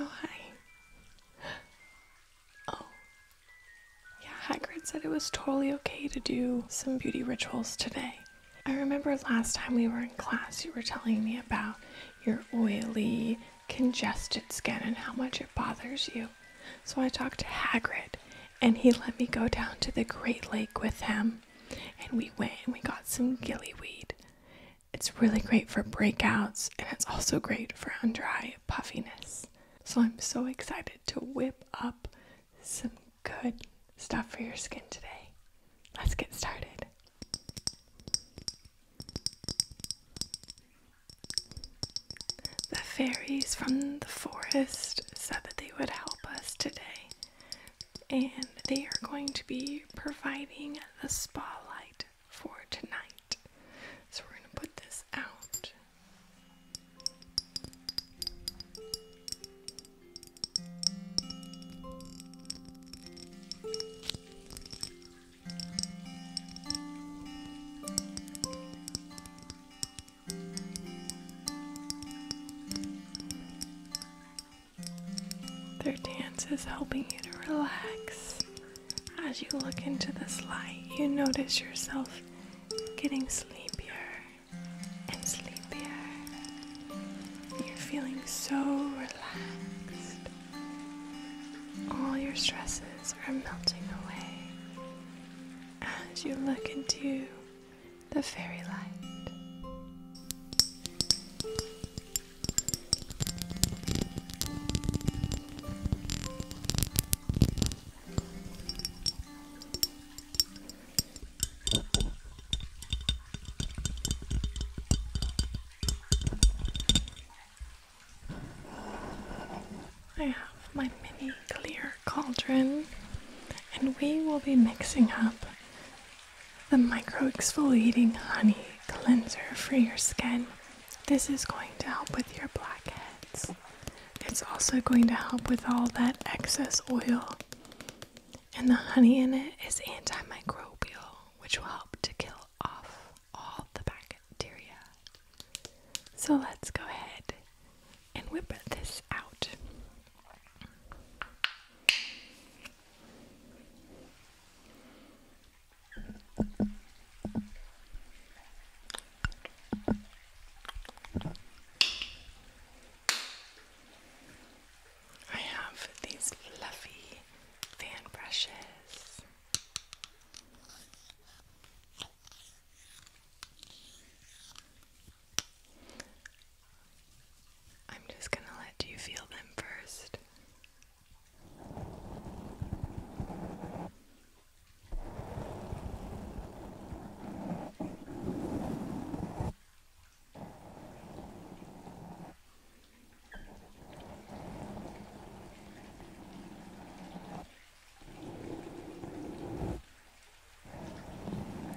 Oh, hi. Oh. Yeah, Hagrid said it was totally okay to do some beauty rituals today. I remember last time we were in class, you were telling me about your oily congested skin and how much it bothers you. So I talked to Hagrid, and he let me go down to the Great Lake with him. And we went and we got some gillyweed. It's really great for breakouts, and it's also great for undry puffiness. So I'm so excited to whip up some good stuff for your skin today. Let's get started the fairies from the forest said that they would help us today, and they are going to be providing the spa light for tonight. So we're going to put this out. Their dance is helping you to relax. As you look into this light, you notice yourself getting sleepier and sleepier. You're feeling so relaxed all your stresses are melting away as you look into the fairy light. I have my mini clear cauldron, and we will be mixing up the micro exfoliating honey cleanser for your skin. This is going to help with your blackheads. It's also going to help with all that excess oil. And the honey in it is antimicrobial, which will help to kill off all the bacteria. So let's go ahead and whip this out. I have these fluffy fan brushes. I'm just going to let you feel them first.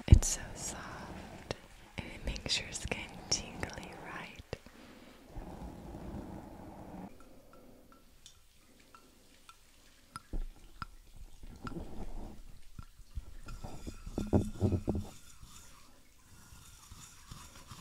It's so soft and it makes your skin tingly, right?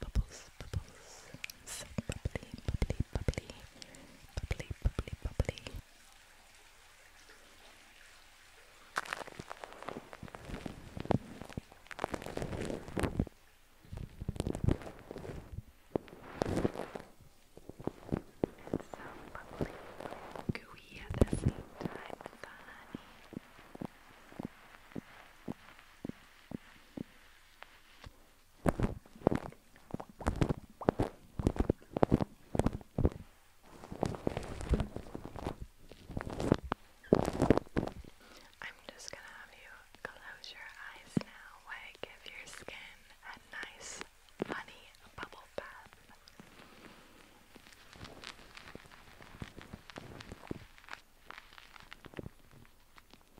Bubbles, bubbles, bubbles. So bubbly, bubbly, bubbly. Bubbly, bubbly, bubbly. It's so bubbly, gooey at the same time with the honey. I'm just gonna have you close your eyes now I give your skin a nice, funny bubble bath. We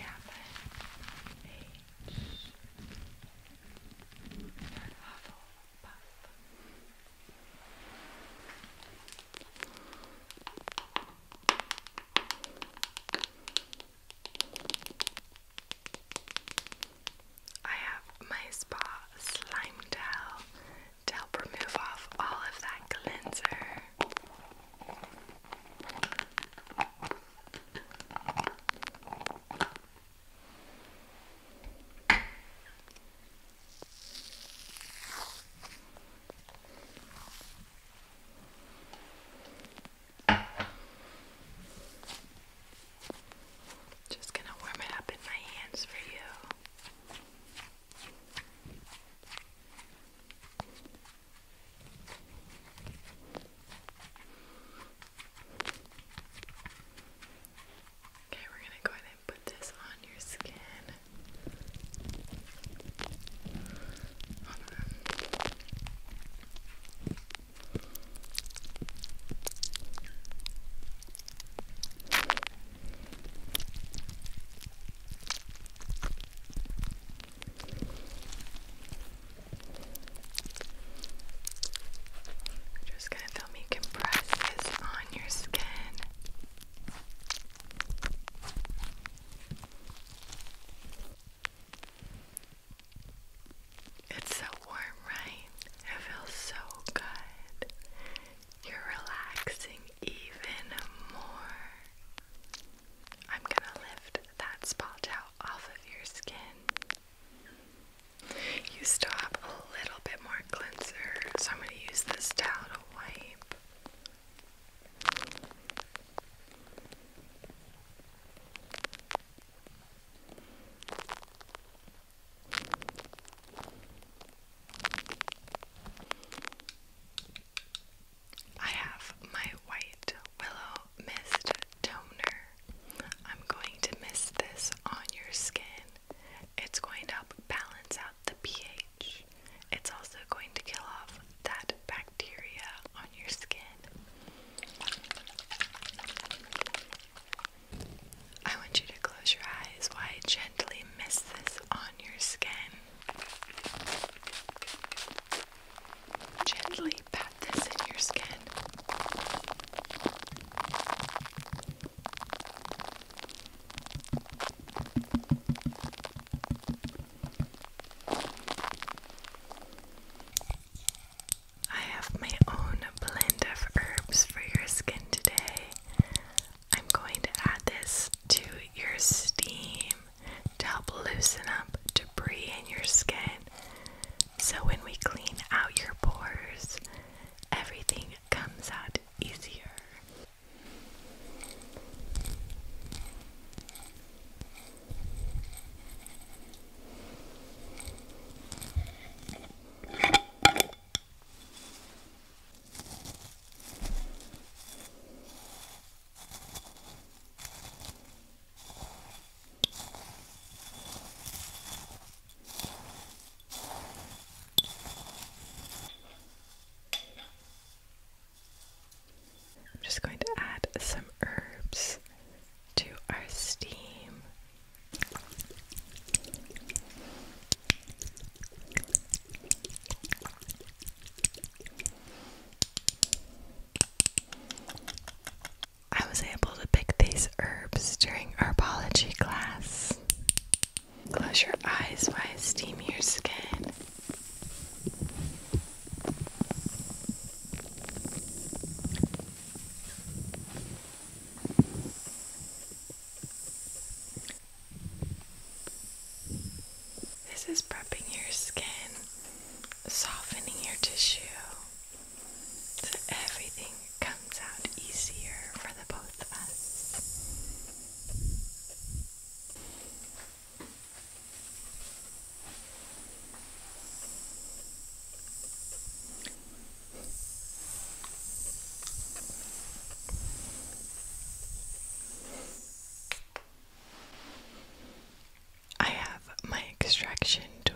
have an H I have my spa slime gel to help remove off all of that cleanser. Just going to warm it up in my hands for you. Okay, we're going to go ahead and put this on your skin just gonna feel me compress this on your skin. It's so warm, right? It feels so good. You're relaxing even more. I'm gonna lift that spot out off of your skin. You still a little bit more cleanser, so I'm going to use this towel to wipe. I have my white Willow Mist Toner. I'm going to mist this on your skin. It's going to help balance out the pH. It's also going to kill off that bacteria on your skin. I want you to close your eyes while I gently mist this on your skin. Gently pat this in your skin. I have my own blend of herbs for your skin today. I'm going to add this to your steam to help loosen up debris in your skin. So when we clean out your pores, everything comes out easier. I'm just going to add some herbs to our steam. I was able to pick these herbs during herbology class. Close your eyes while I steam your skin. This is prepping your skin softening your tissue so everything comes out easier for the both of us. I have my extraction tool.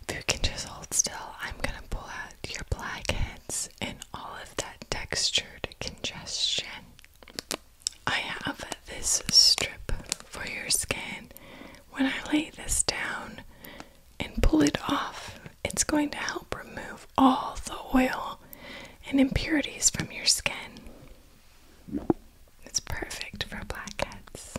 If you can just hold still, I'm gonna pull out your blackheads and all of that textured congestion. I have this strip for your skin. When I lay this down, and pull it off. It's going to help remove all the oil and impurities from your skin. It's perfect for blackheads.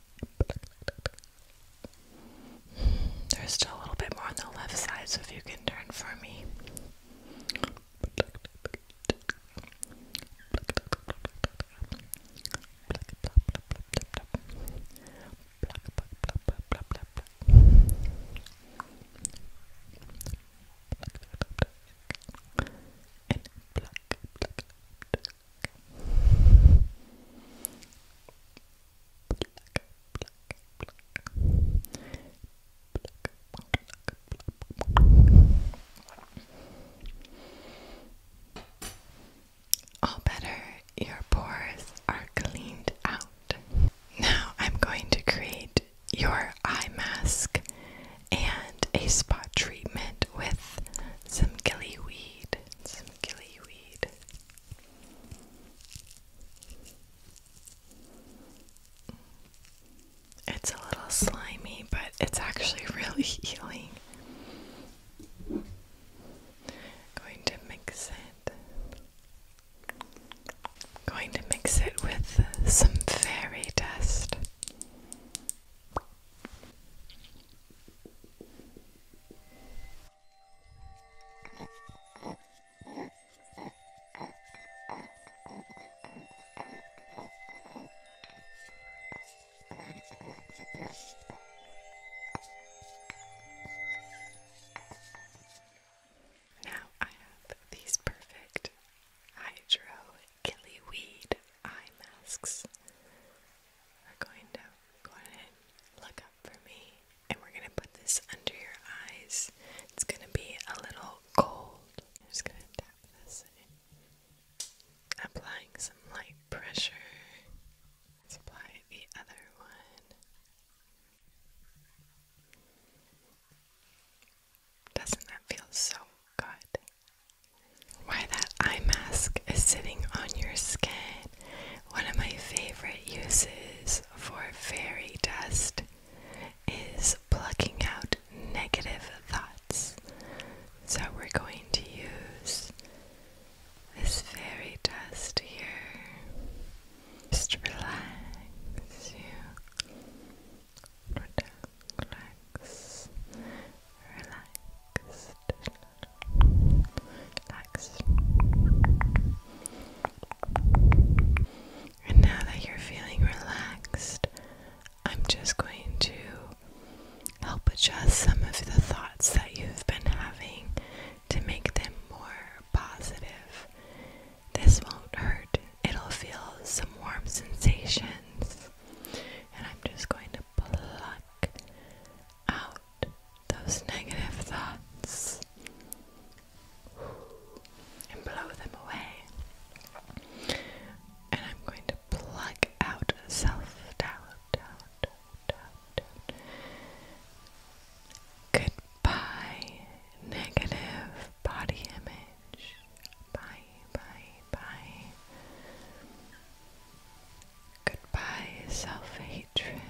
There's still a little bit more on the left side, so if you can turn for me. All better, your pores are cleaned out. Now I'm going to create your eye mask and a spot treatment with some gillyweed some gillyweed. It's a little slimy, but it's actually really healing. Going to mix it. Going to mix it with some fairy dust. Now I have these perfect hydro killy eye masks are going to go ahead and look up for me, and we're going to put this under your eyes. It's going to be a little cold. I'm just going to tap this Applying some light pressure. apply the other one. Doesn't that feel so good? Why that eye mask is sitting on your skin. One of my favorite uses for fairy dust is plucking out negative thoughts. So we're going to use this fairy dust here. Just relax you relax, relaxed, relaxed. And now that you're feeling relaxed, I'm just going to help adjust some of the thoughts that you've been having to make them more positive. This won't hurt, it'll feel some warm sensations. And I'm just going to to out those negative thoughts and blow them away. And I'm going to pluck out self doubt, doubt. Goodbye, negative body image. Bye bye, bye. Goodbye, self hatred.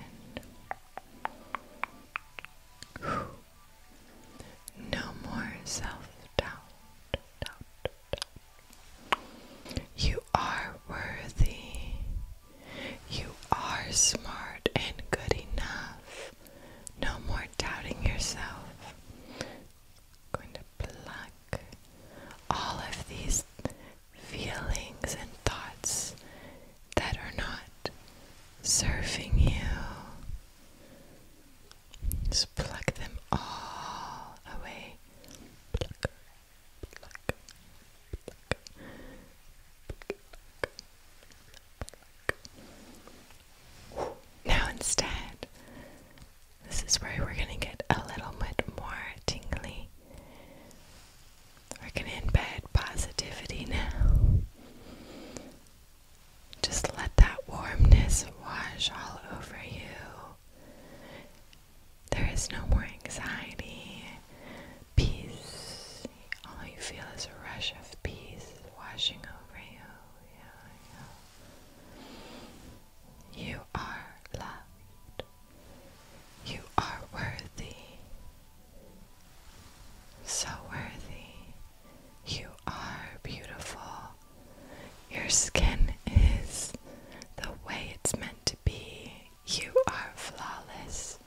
No more self doubt. You are worthy. You are smart and good enough. No more doubting yourself going to pluck all of these feelings and thoughts that are not serving you. Just pluck them all away. Now, instead, this is where we're going to get a little bit more tingly. We're going to embed positivity now. Just let that warmness wash all over you. There is no more anxiety, peace. All you feel is a rush of peace washing over you. You are loved. You are worthy. So worthy. You are beautiful. Your skin is the way it's meant to be. You are flawless.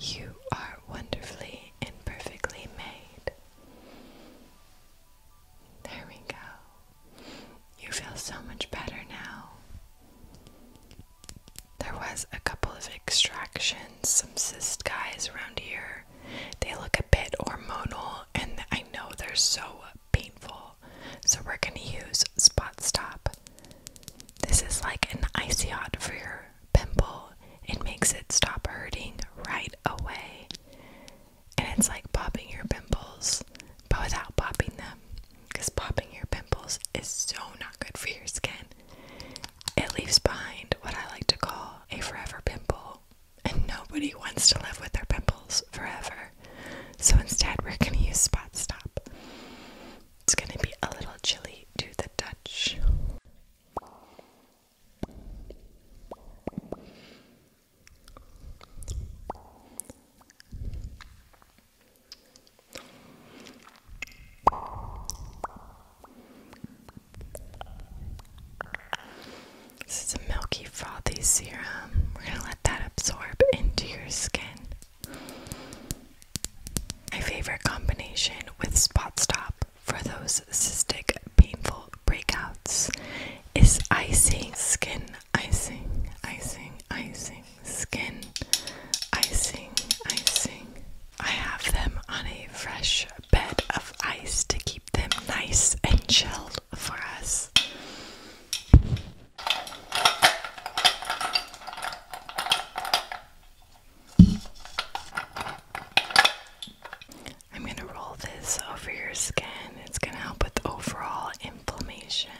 You are wonderfully and perfectly made. There we go. You feel so much better now. There was a couple of extractions, some cyst guys around here. They look a bit hormonal and I know they're so painful. So we're going to use Spot Stop. This is like an icy for your pimple. It makes it stop hurting right away and it's like popping your pimples but without popping them because popping your pimples is so not good for your skin it leaves behind what i like to call a forever pimple and nobody wants to live with their pimples forever so instead we're going to use spot stop it's going to be a little chilly to the touch this is a milky frothy serum. We're gonna let that absorb into your skin. My favorite combination with Spot Stop for those cystic painful breakouts is icing, skin icing, icing, icing, skin icing, icing. I have them on a fresh bed of ice to keep them nice and chilled for us. I'm going to roll this over your skin. It's going to help with overall inflammation.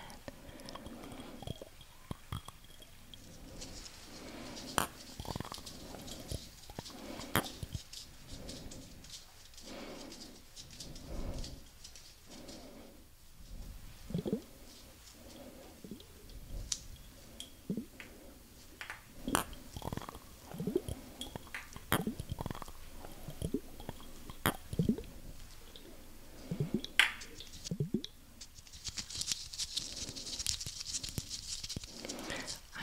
I'm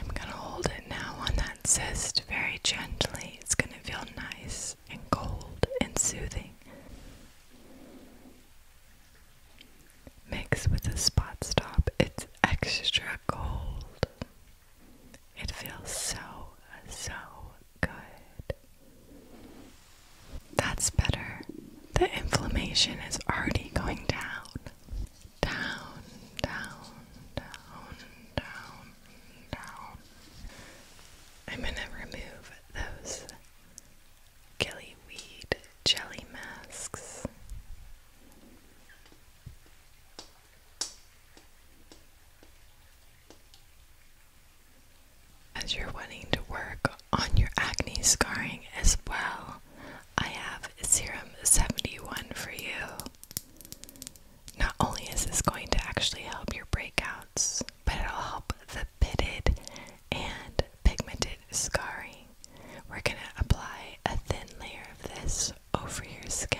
going to hold it now on that cyst very gently. It's going to feel nice and cold and soothing. Mix with a spot stop, it's extra cold. It feels so, so good. That's better. The inflammation is already going down. Down, down, down, down, down. I'm going to remove those gillyweed jelly masks. As you're wanting to work on your acne scarring as well, I have Serum 71 for you. Not only is this going to actually help your breakouts, but it'll help the pitted and pigmented scarring. We're going to apply a thin layer of this over your skin.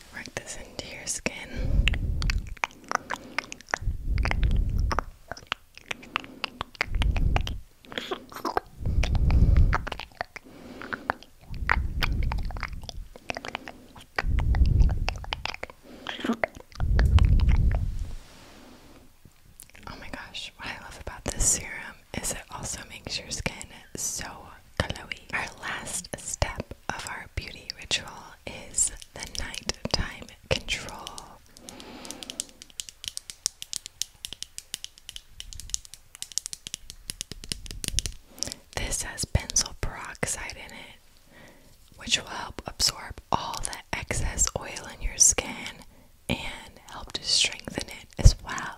work this into your skin. Oh my gosh, what I love about this serum is it also makes your skin so glowy. Our last step of our beauty ritual is the nighttime control. This has benzyl peroxide in it, which will help absorb all the excess oil in your skin and help to strengthen it as well.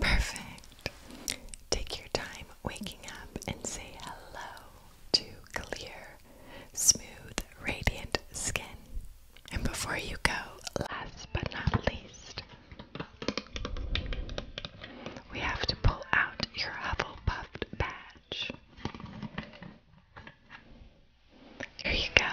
Perfect. Take your time waking up and say hello to clear, smooth, radiant skin. And before you go, last but not least, we have to pull out your Hufflepuff badge. Here you go.